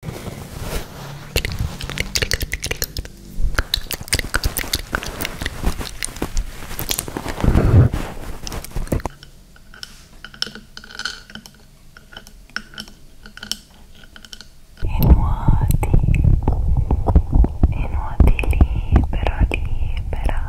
E nuoti, e nuoti libero, libera.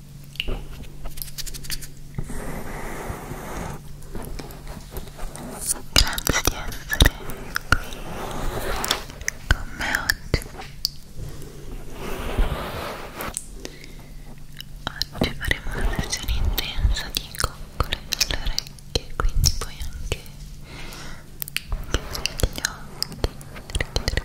Grazie di essere qui con me oggi. Oggi faremo una versione intensa di coccole alle orecchie, quindi puoi anche chiudere gli occhi,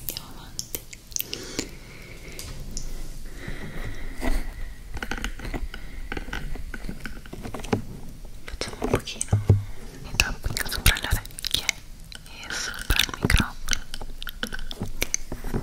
andiamo avanti facciamo un pochino di tapping sopra le orecchie e sopra il microfono ok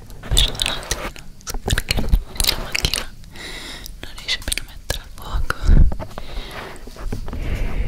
personalmente non so perché la macchina non riesce più a mettere a fuoco Tutto bene.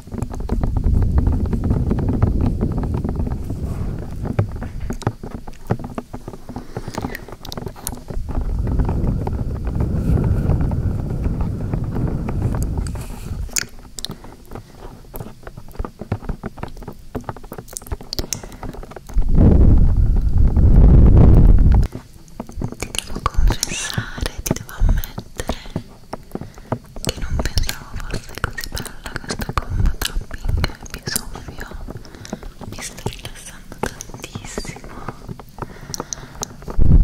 Ti devo confessare, ti devo ammettere che non pensavo fosse così bella questa combo topping e soffio mi sta rilassando tantissimo ve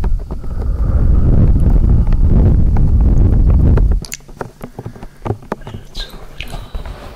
lo giuro troppo bello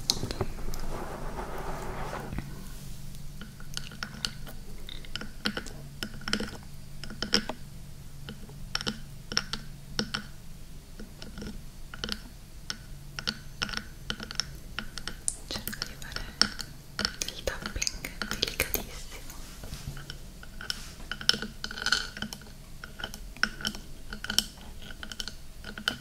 Cerco di fare del tapping delicatissimo. Ecco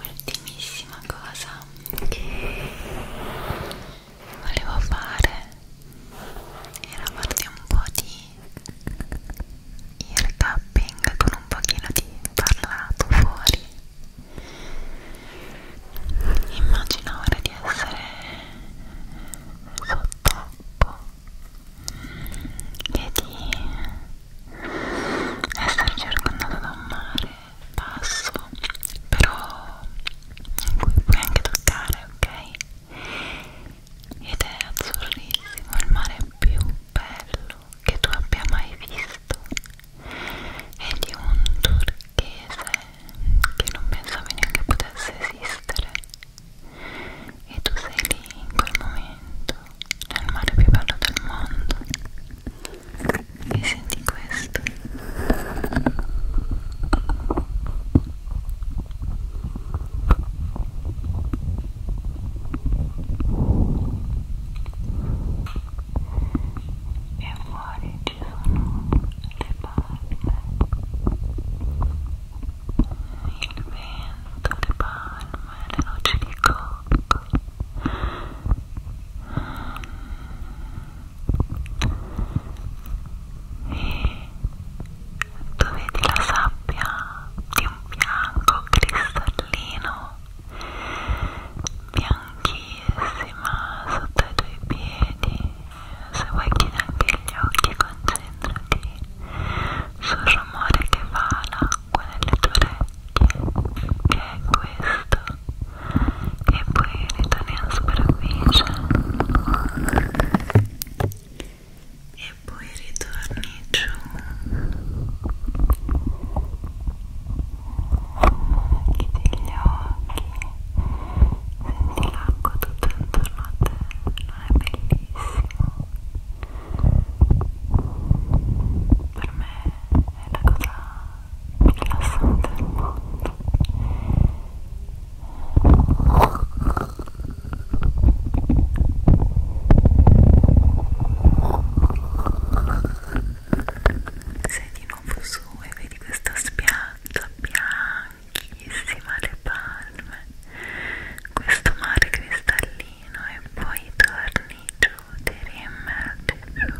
Ultimissima cosa che volevo fare era farti un po' di il tapping con un pochino di parlato fuori immagino ora di essere sott'acqua e di essere circondato da un mare basso però in cui puoi anche toccare ok ed è azzurrissimo il mare è più bello che tu abbia mai visto è di un turchese che non pensavi neanche potesse esistere e tu sei lì in quel momento nel mare più bello del mondo e senti questo e fuori ci sono le palme il vento, le palme, le noci di cocco e dove vedi la sabbia di un bianco cristallino bianchissima sotto i tuoi piedi se vuoi chiudi anche gli occhi concentrati sul rumore che fa l'acqua nelle tue orecchie che è questo e poi ritorni in superficie e e poi ritorni giù chiudi gli occhi senti l'acqua tutto intorno a te non è bellissimo per me è la cosa più rilassante del mondo e sei di nuovo su e vedi questa spiaggia bianchissima, le palme, questo mare cristallino e poi torni giù, ti riemergi giù.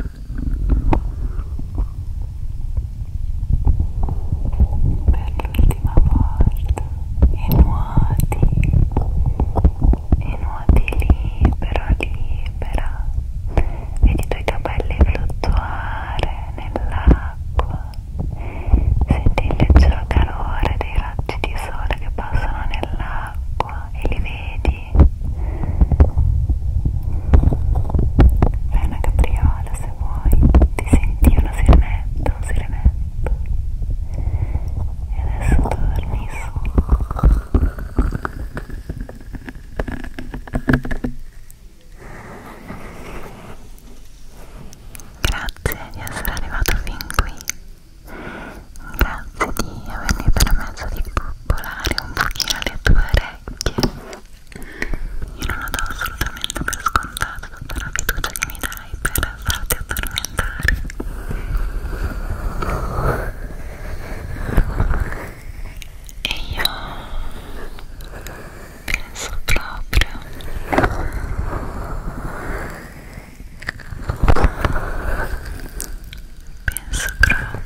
Per l'ultima volta e nuoti e nuoti libero, libera vedi i tuoi capelli fluttuare nell'acqua senti il leggero calore dei raggi di sole che passano nell'acqua e li vedi fai una capriola se vuoi ti senti una sirenetta, un sirenetto e adesso torni su grazie di essere arrivato fin qui grazie di avermi permesso di popolare un pochino le tue orecchie io non lo do assolutamente per scontato tutta la fiducia che mi dai vai para a falta atormentar. E eu penso próprio. Penso próprio. Penso